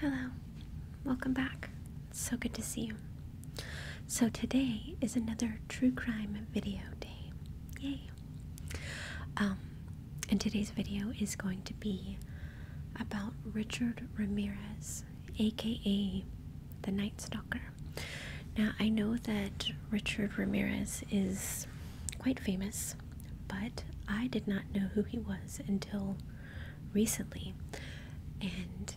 Hello, welcome back. It's so good to see you. So, today is another true crime video day. Yay! Um, and today's video is going to be about Richard Ramirez, aka the Night Stalker. Now, I know that Richard Ramirez is quite famous, but I did not know who he was until recently, and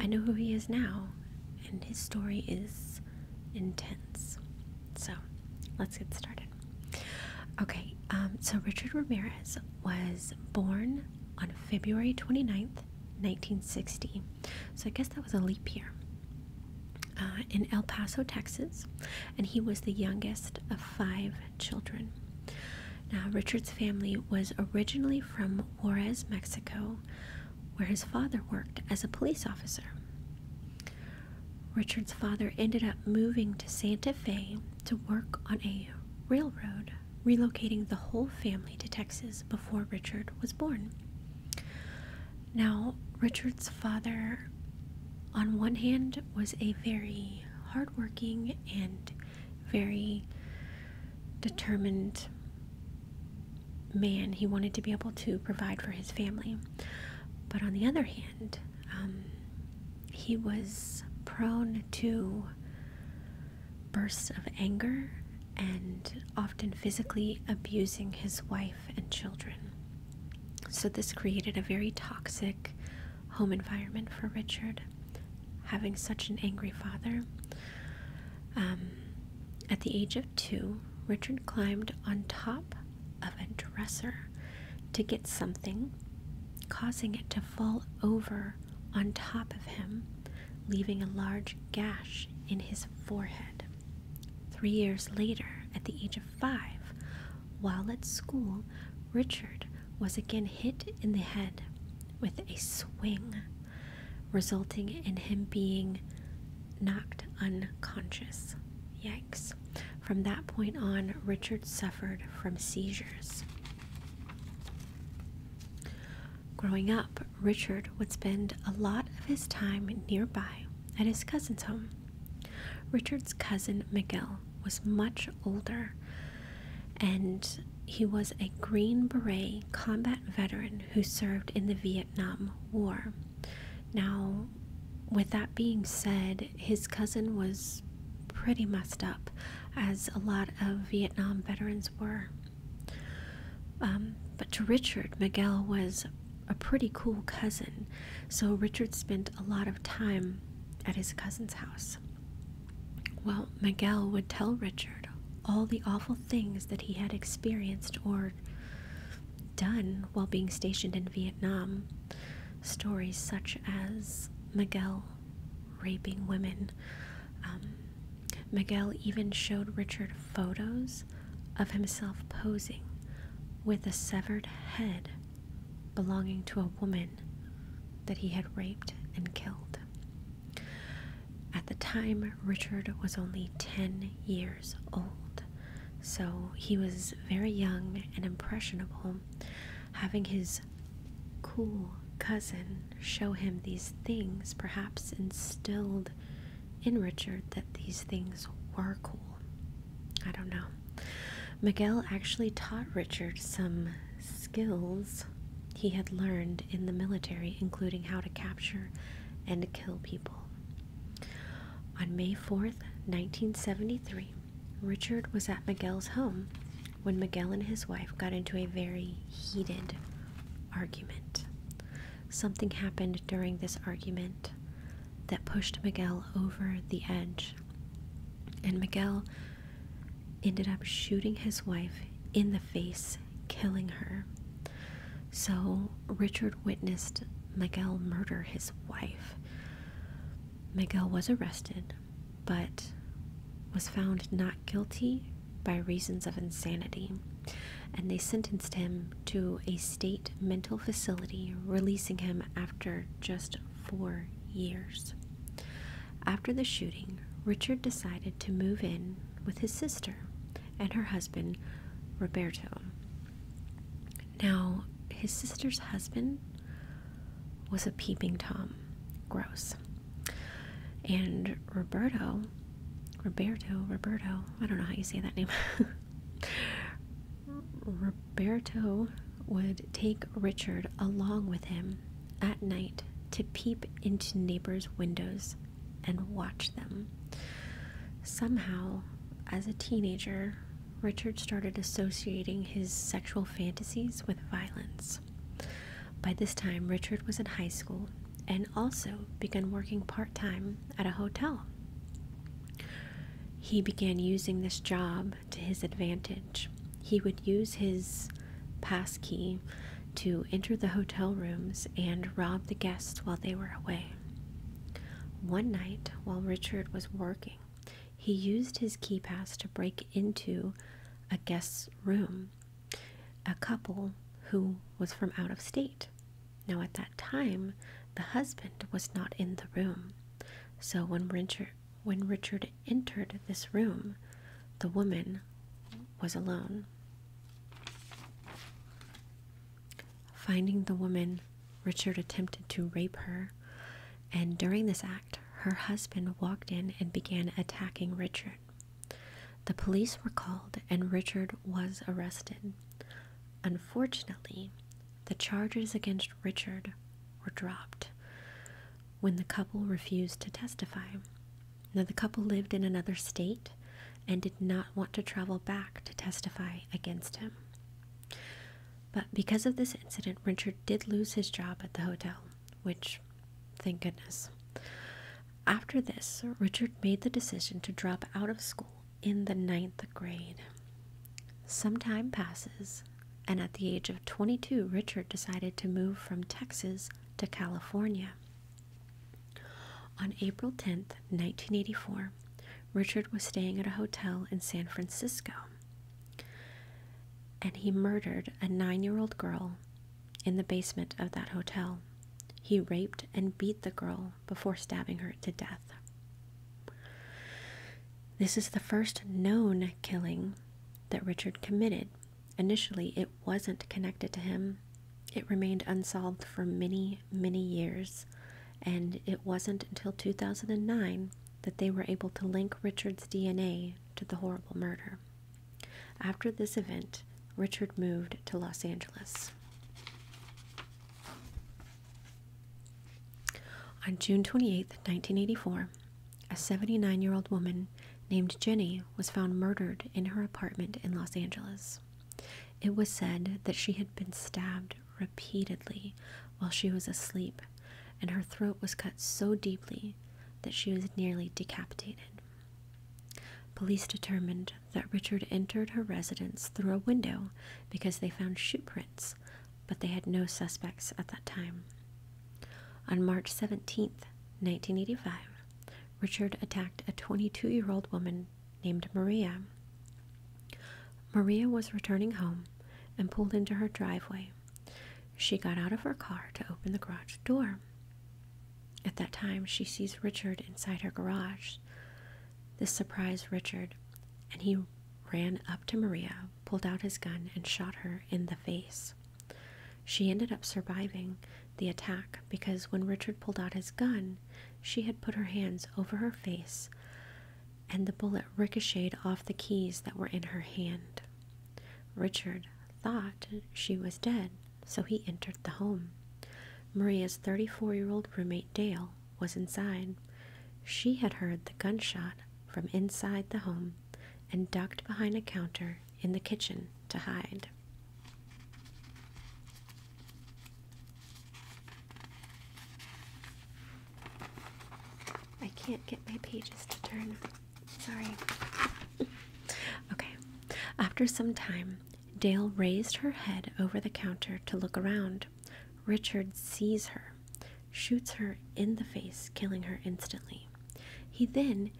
I know who he is now, and his story is intense. So let's get started. Okay, um, so Richard Ramirez was born on February 29th, 1960. So I guess that was a leap year. Uh, in El Paso, Texas, and he was the youngest of five children. Now, Richard's family was originally from Juarez, Mexico, where his father worked as a police officer. Richard's father ended up moving to Santa Fe to work on a railroad, relocating the whole family to Texas before Richard was born. Now, Richard's father, on one hand, was a very hardworking and very determined man. He wanted to be able to provide for his family. But on the other hand, um, he was prone to bursts of anger and often physically abusing his wife and children. So, this created a very toxic home environment for Richard, having such an angry father. Um, at the age of two, Richard climbed on top of a dresser to get something, causing it to fall over on top of him, leaving a large gash in his forehead. Three years later, at the age of five. While at school, Richard was again hit in the head with a swing, resulting in him being knocked unconscious. Yikes. From that point on, Richard suffered from seizures. Growing up, Richard would spend a lot of his time nearby at his cousin's home. Richard's cousin Miguel was much older, and he was a Green Beret combat veteran who served in the Vietnam War. Now, with that being said, his cousin was pretty messed up, as a lot of Vietnam veterans were. Um, but to Richard, Miguel was a pretty cool cousin, so Richard spent a lot of time at his cousin's house. Well, Miguel would tell Richard all the awful things that he had experienced or done while being stationed in Vietnam. Stories such as Miguel raping women. Um, Miguel even showed Richard photos of himself posing with a severed head belonging to a woman that he had raped and killed. At the time, Richard was only 10 years old, so he was very young and impressionable. Having his cool cousin show him these things perhaps instilled in Richard that these things were cool. I don't know. Miguel actually taught Richard some skills he had learned in the military, including how to capture and kill people. On May 4th, 1973, Richard was at Miguel's home when Miguel and his wife got into a very heated argument. Something happened during this argument that pushed Miguel over the edge and Miguel ended up shooting his wife in the face, killing her. So Richard witnessed Miguel murder his wife. Miguel was arrested, but was found not guilty by reasons of insanity, and they sentenced him to a state mental facility, releasing him after just four years. After the shooting, Richard decided to move in with his sister and her husband, Roberto. Now, his sister's husband was a peeping Tom. Gross. And Roberto, Roberto, Roberto, I don't know how you say that name. Roberto would take Richard along with him at night to peep into neighbors' windows and watch them. Somehow, as a teenager, Richard started associating his sexual fantasies with violence. By this time, Richard was in high school and also began working part time at a hotel. He began using this job to his advantage. He would use his pass key to enter the hotel rooms and rob the guests while they were away. One night, while Richard was working, he used his key pass to break into a guest's room, a couple who was from out of state. Now, at that time, the husband was not in the room. So when Richard, when Richard entered this room, the woman was alone. Finding the woman, Richard attempted to rape her, and during this act, her husband walked in and began attacking Richard. The police were called and Richard was arrested. Unfortunately, the charges against Richard were dropped when the couple refused to testify. Now, the couple lived in another state and did not want to travel back to testify against him. But because of this incident, Richard did lose his job at the hotel, which, thank goodness. After this, Richard made the decision to drop out of school in the ninth grade. Some time passes, and at the age of 22, Richard decided to move from Texas to California. On April 10, 1984, Richard was staying at a hotel in San Francisco and he murdered a nine year old girl in the basement of that hotel. He raped and beat the girl before stabbing her to death. This is the first known killing that Richard committed. Initially, it wasn't connected to him. It remained unsolved for many, many years, and it wasn't until 2009 that they were able to link Richard's DNA to the horrible murder. After this event, Richard moved to Los Angeles. On June twenty-eighth, 1984, a 79 year old woman named Jenny was found murdered in her apartment in Los Angeles. It was said that she had been stabbed repeatedly while she was asleep, and her throat was cut so deeply that she was nearly decapitated. Police determined that Richard entered her residence through a window because they found shoe prints but they had no suspects at that time. On March seventeenth, 1985, Richard attacked a 22 year old woman named Maria. Maria was returning home and pulled into her driveway. She got out of her car to open the garage door. At that time, she sees Richard inside her garage. This surprised Richard, and he ran up to Maria pulled out his gun and shot her in the face. She ended up surviving the attack because when Richard pulled out his gun, she had put her hands over her face and the bullet ricocheted off the keys that were in her hand. Richard thought she was dead, so he entered the home. Maria's 34 year old roommate Dale was inside. She had heard the gunshot from inside the home and ducked behind a counter in the kitchen to hide. I can't get my pages to turn. Sorry. okay. After some time, Dale raised her head over the counter to look around. Richard sees her shoots her in the face, killing her instantly. He then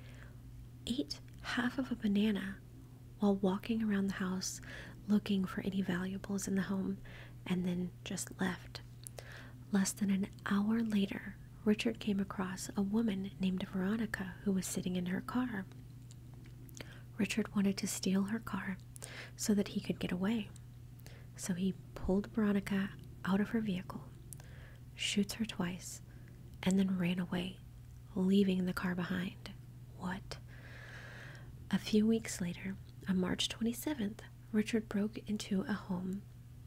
ate half of a banana while walking around the house looking for any valuables in the home and then just left. Less than an hour later, Richard came across a woman named Veronica who was sitting in her car. Richard wanted to steal her car so that he could get away. So he pulled Veronica out of her vehicle, shoots her twice, and then ran away, leaving the car behind. What? A few weeks later, on March 27th, Richard broke into a home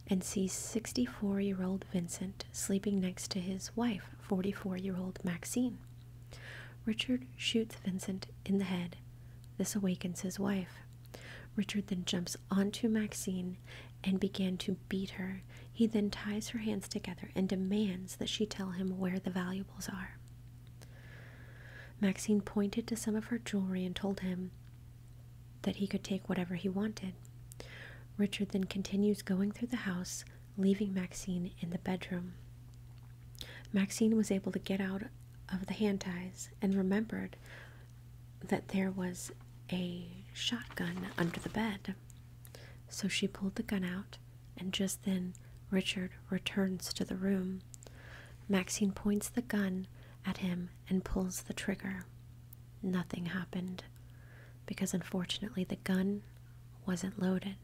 and sees 64 year old Vincent sleeping next to his wife, 44 year old Maxine. Richard shoots Vincent in the head. This awakens his wife. Richard then jumps onto Maxine and begins to beat her. He then ties her hands together and demands that she tell him where the valuables are. Maxine pointed to some of her jewelry and told him that he could take whatever he wanted. Richard then continues going through the house, leaving Maxine in the bedroom. Maxine was able to get out of the hand ties and remembered that there was a shotgun under the bed. So she pulled the gun out, and just then Richard returns to the room. Maxine points the gun at him and pulls the trigger. Nothing happened because unfortunately the gun wasn't loaded.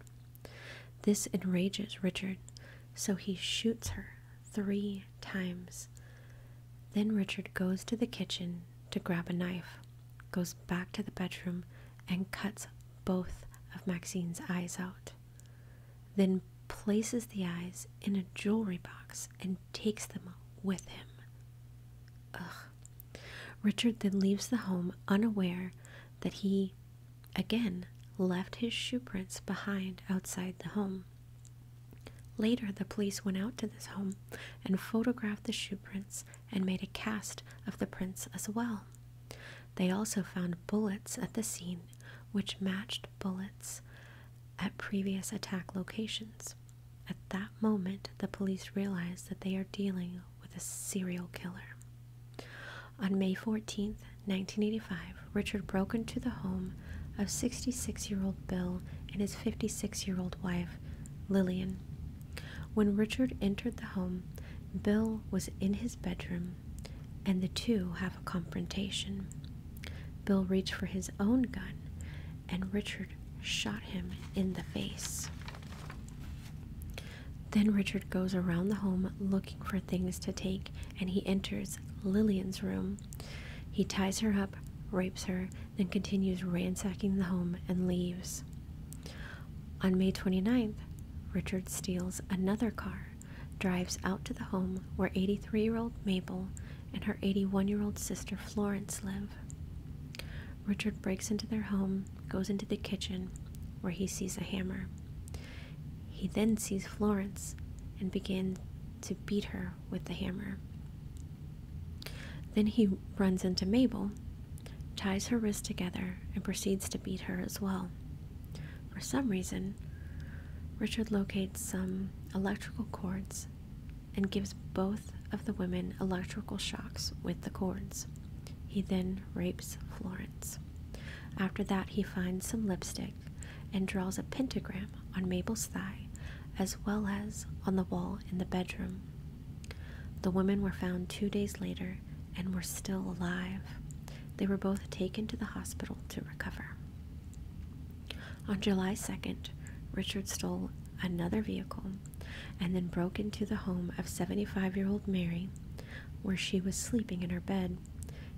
This enrages Richard, so he shoots her three times. Then Richard goes to the kitchen to grab a knife, goes back to the bedroom, and cuts both of Maxine's eyes out. Then places the eyes in a jewelry box and takes them with him. Ugh. Richard then leaves the home unaware that he, again, left his shoe prints behind outside the home. Later, the police went out to this home and photographed the shoe prints and made a cast of the prints as well. They also found bullets at the scene, which matched bullets at previous attack locations. At that moment, the police realized that they are dealing with a serial killer. On May 14, 1985, Richard broke into the home of 66 year old Bill and his 56 year old wife, Lillian. When Richard entered the home, Bill was in his bedroom and the two have a confrontation. Bill reached for his own gun and Richard shot him in the face. Then Richard goes around the home looking for things to take and he enters Lillian's room. He ties her up, rapes her, then continues ransacking the home and leaves. On May twenty ninth, Richard steals another car, drives out to the home where 83 year old Mabel and her 81 year old sister Florence live. Richard breaks into their home, goes into the kitchen, where he sees a hammer. He then sees Florence and begins to beat her with the hammer. Then he runs into Mabel, ties her wrists together, and proceeds to beat her as well. For some reason, Richard locates some electrical cords and gives both of the women electrical shocks with the cords. He then rapes Florence. After that, he finds some lipstick and draws a pentagram on Mabel's thigh as well as on the wall in the bedroom. The women were found two days later and were still alive. They were both taken to the hospital to recover. On July 2nd, Richard stole another vehicle and then broke into the home of 75 year old Mary, where she was sleeping in her bed.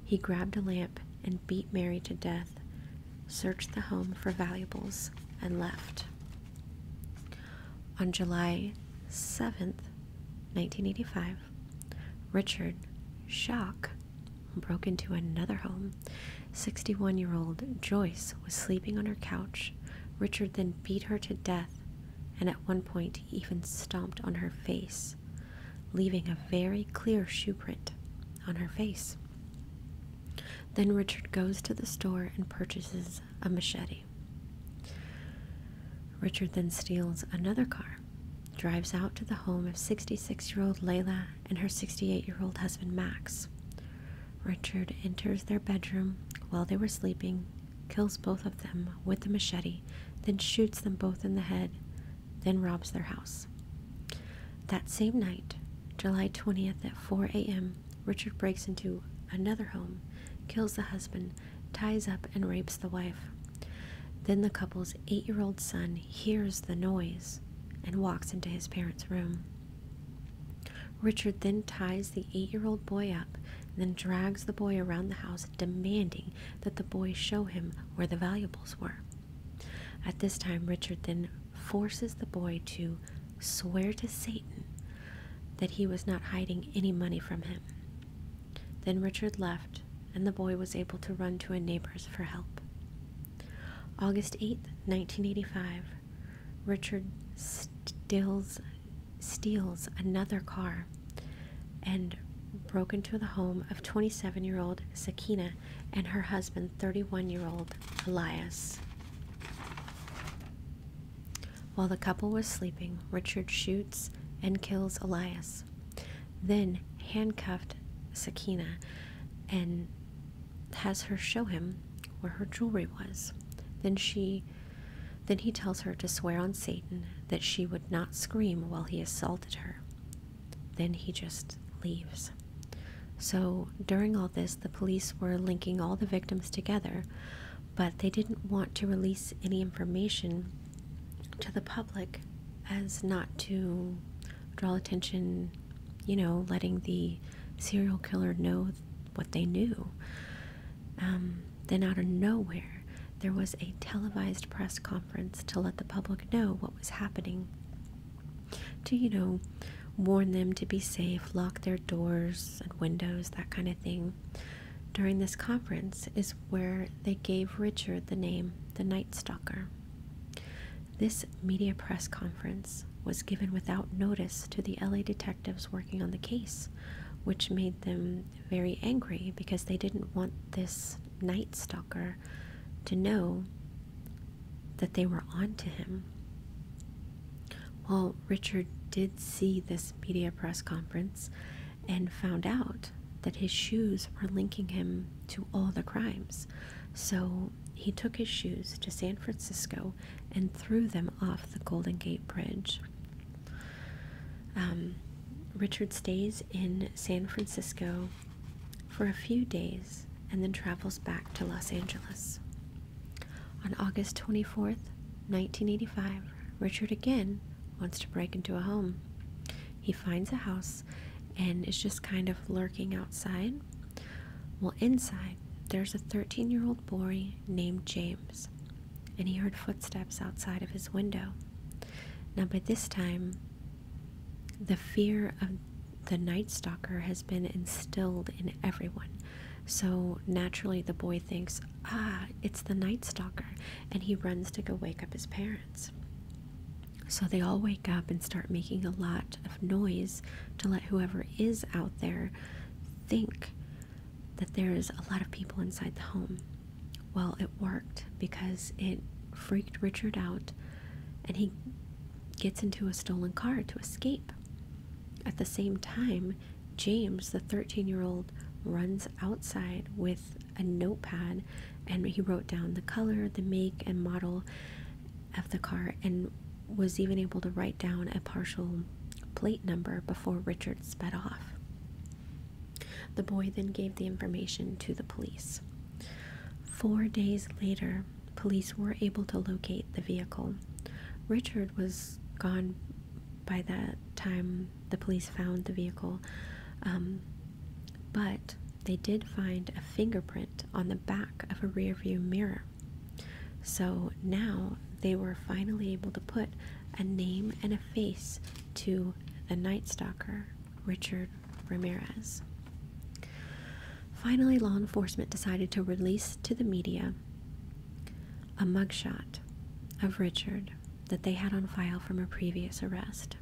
He grabbed a lamp and beat Mary to death, searched the home for valuables, and left. On July 7th, 1985, Richard Shock broke into another home. 61 year old Joyce was sleeping on her couch. Richard then beat her to death and at one point even stomped on her face, leaving a very clear shoe print on her face. Then Richard goes to the store and purchases a machete. Richard then steals another car, drives out to the home of 66 year old Layla and her 68 year old husband Max. Richard enters their bedroom while they were sleeping, kills both of them with the machete, then shoots them both in the head, then robs their house. That same night, July 20th at 4 a.m., Richard breaks into another home, kills the husband, ties up, and rapes the wife. Then the couple's eight year old son hears the noise and walks into his parents' room. Richard then ties the eight year old boy up and then drags the boy around the house, demanding that the boy show him where the valuables were. At this time, Richard then forces the boy to swear to Satan that he was not hiding any money from him. Then Richard left, and the boy was able to run to a neighbor's for help. August eighth, 1985, Richard steals, steals another car and broke into the home of 27 year old Sakina and her husband, 31 year old Elias. While the couple was sleeping, Richard shoots and kills Elias, then handcuffed Sakina and has her show him where her jewelry was. Then she then he tells her to swear on Satan that she would not scream while he assaulted her then he just leaves. So during all this, the police were linking all the victims together, but they didn't want to release any information to the public as not to draw attention, you know, letting the serial killer know what they knew. Um, then, out of nowhere, there was a televised press conference to let the public know what was happening to, you know, warn them to be safe, lock their doors and windows, that kind of thing. During this conference is where they gave Richard the name the Night Stalker. This media press conference was given without notice to the LA detectives working on the case, which made them very angry because they didn't want this Night Stalker to know that they were on to him. Well, Richard did see this media press conference and found out that his shoes were linking him to all the crimes. So he took his shoes to San Francisco and threw them off the Golden Gate Bridge. Um, Richard stays in San Francisco for a few days and then travels back to Los Angeles. On August 24th, 1985, Richard again wants to break into a home. He finds a house and is just kind of lurking outside. Well, inside, there's a 13 year old boy named James, and he heard footsteps outside of his window. Now, by this time, the fear of the Night Stalker has been instilled in everyone. So naturally, the boy thinks, ah, it's the Night Stalker, and he runs to go wake up his parents. So they all wake up and start making a lot of noise to let whoever is out there think that there is a lot of people inside the home. Well, it worked because it freaked Richard out and he gets into a stolen car to escape. At the same time, James, the 13 year old, runs outside with a notepad and he wrote down the color, the make, and model of the car and was even able to write down a partial plate number before Richard sped off. The boy then gave the information to the police. Four days later, police were able to locate the vehicle. Richard was gone by that time the police found the vehicle, um, but they did find a fingerprint on the back of a rearview mirror. So now they were finally able to put a name and a face to the Night Stalker, Richard Ramirez. Finally, law enforcement decided to release to the media a mugshot of Richard that they had on file from a previous arrest.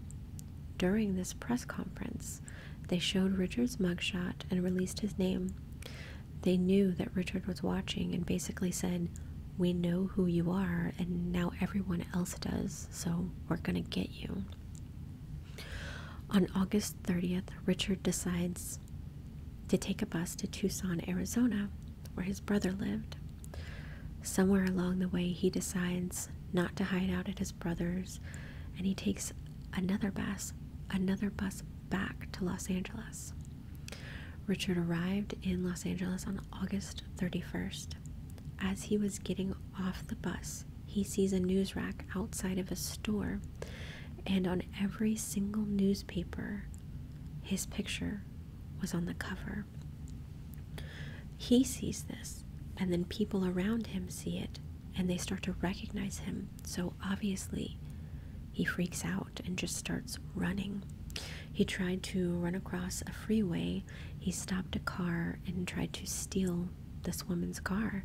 During this press conference, they showed Richard's mugshot and released his name. They knew that Richard was watching and basically said, We know who you are, and now everyone else does, so we're gonna get you. On August 30th, Richard decides to take a bus to Tucson, Arizona, where his brother lived. Somewhere along the way, he decides not to hide out at his brother's and he takes another bus, another bus back to Los Angeles. Richard arrived in Los Angeles on August 31st. As he was getting off the bus, he sees a news rack outside of a store, and on every single newspaper, his picture was on the cover. He sees this, and then people around him see it, and they start to recognize him. So obviously, he freaks out and just starts running. He tried to run across a freeway he stopped a car and tried to steal this woman's car.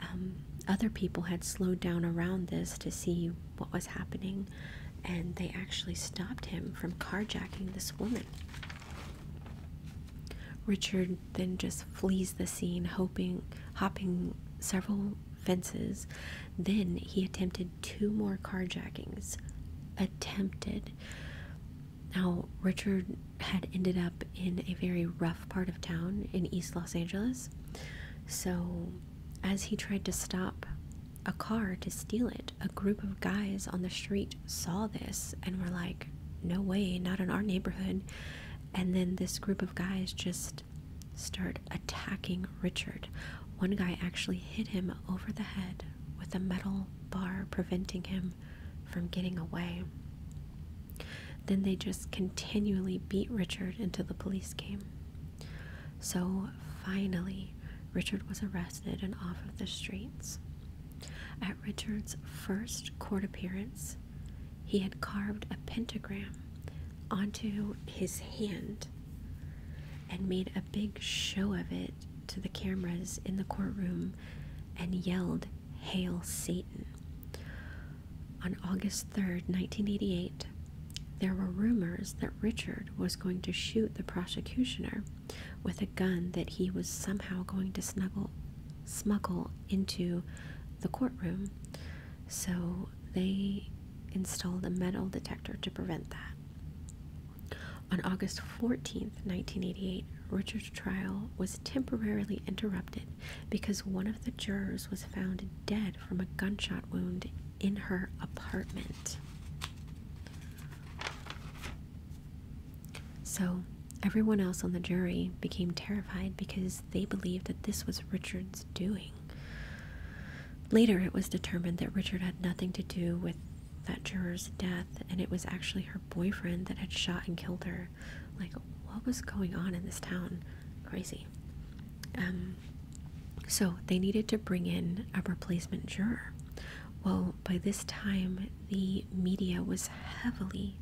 Um, other people had slowed down around this to see what was happening, and they actually stopped him from carjacking this woman. Richard then just flees the scene, hoping, hopping several fences. Then he attempted two more carjackings. Attempted. Now, Richard had ended up in a very rough part of town in East Los Angeles, so as he tried to stop a car to steal it, a group of guys on the street saw this and were like, No way, not in our neighborhood. And then this group of guys just start attacking Richard. One guy actually hit him over the head with a metal bar, preventing him from getting away. Then they just continually beat Richard until the police came. So finally, Richard was arrested and off of the streets. At Richard's first court appearance, he had carved a pentagram onto his hand and made a big show of it to the cameras in the courtroom and yelled, Hail Satan. On August third, 1988, there were rumors that Richard was going to shoot the prosecutioner with a gun that he was somehow going to smuggle into the courtroom. So they installed a metal detector to prevent that. On August fourteenth, 1988, Richard's trial was temporarily interrupted because one of the jurors was found dead from a gunshot wound in her apartment. So, everyone else on the jury became terrified because they believed that this was Richard's doing. Later, it was determined that Richard had nothing to do with that juror's death, and it was actually her boyfriend that had shot and killed her. Like, what was going on in this town? Crazy. Um, so they needed to bring in a replacement juror. Well, by this time, the media was heavily,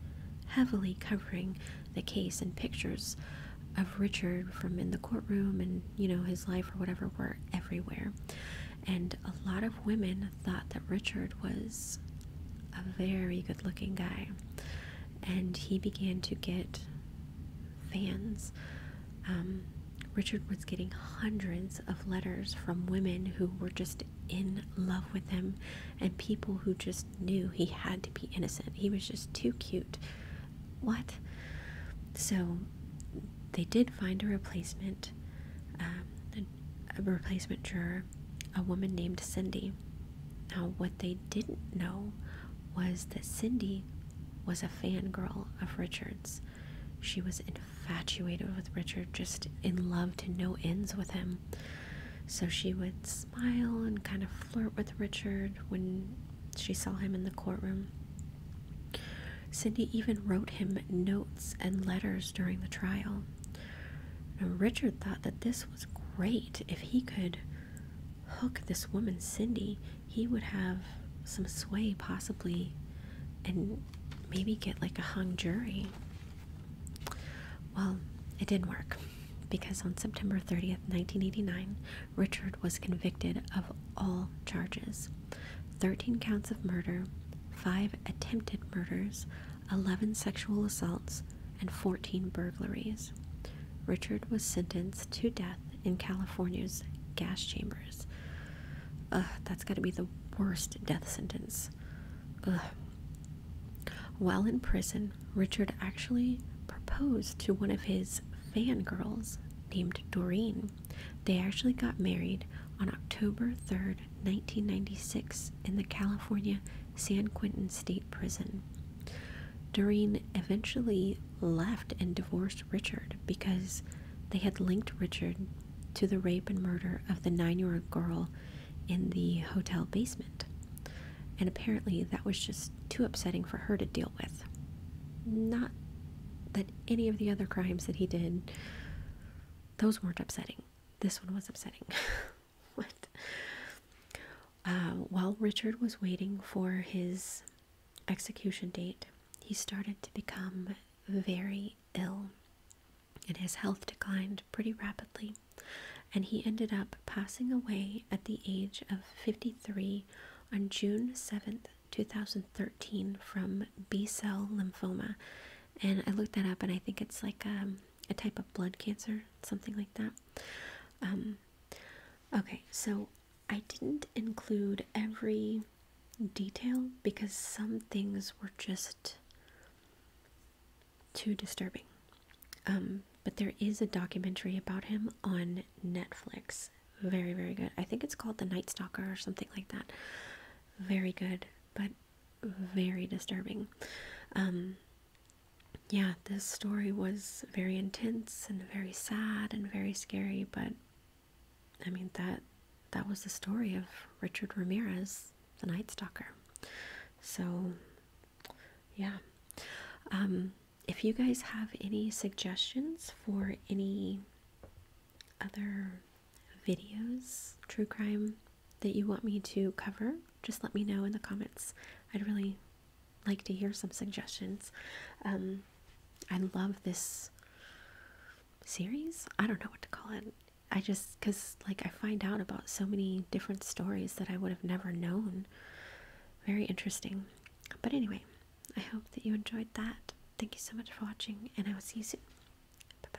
heavily covering the case and pictures of Richard from in the courtroom and, you know, his life or whatever were everywhere. And a lot of women thought that Richard was a very good looking guy, and he began to get fans. Um, Richard was getting hundreds of letters from women who were just in love with him and people who just knew he had to be innocent. He was just too cute. What? So they did find a replacement, um, a replacement juror, a woman named Cindy. Now, what they didn't know was that Cindy was a fangirl of Richard's. She was infatuated with Richard, just in love to no ends with him. So she would smile and kind of flirt with Richard when she saw him in the courtroom. Cindy even wrote him notes and letters during the trial. Richard thought that this was great. If he could hook this woman, Cindy, he would have some sway possibly and maybe get like a hung jury. Well, it didn't work because on September 30th, 1989, Richard was convicted of all charges 13 counts of murder, 5 attempted murders, 11 sexual assaults, and 14 burglaries. Richard was sentenced to death in California's gas chambers. that's gotta be the worst death sentence. While in prison, Richard actually proposed to one of his fangirls named Doreen. They actually got married on October third. 1996, in the California San Quentin State Prison. Doreen eventually left and divorced Richard because they had linked Richard to the rape and murder of the nine year old girl in the hotel basement. And apparently, that was just too upsetting for her to deal with. Not that any of the other crimes that he did, those weren't upsetting. This one was upsetting. what? Uh, while Richard was waiting for his execution date, he started to become very ill, and his health declined pretty rapidly. And he ended up passing away at the age of 53 on June 7th, 2013, from B cell lymphoma. And I looked that up, and I think it's like um, a type of blood cancer, something like that. Um, okay, so I didn't include every detail because some things were just too disturbing. Um, but there is a documentary about him on Netflix. Very, very good. I think it's called The Night Stalker or something like that. Very good. But very disturbing. Um, yeah, this story was very intense and very sad and very scary, but I mean that that was the story of Richard Ramirez, the Night Stalker. So, yeah. Um, if you guys have any suggestions for any other videos, true crime, that you want me to cover, just let me know in the comments. I'd really like to hear some suggestions. Um, I love this series. I don't know what to call it. I just, because like I find out about so many different stories that I would have never known. Very interesting. But anyway, I hope that you enjoyed that. Thank you so much for watching, and I will see you soon. Bye bye.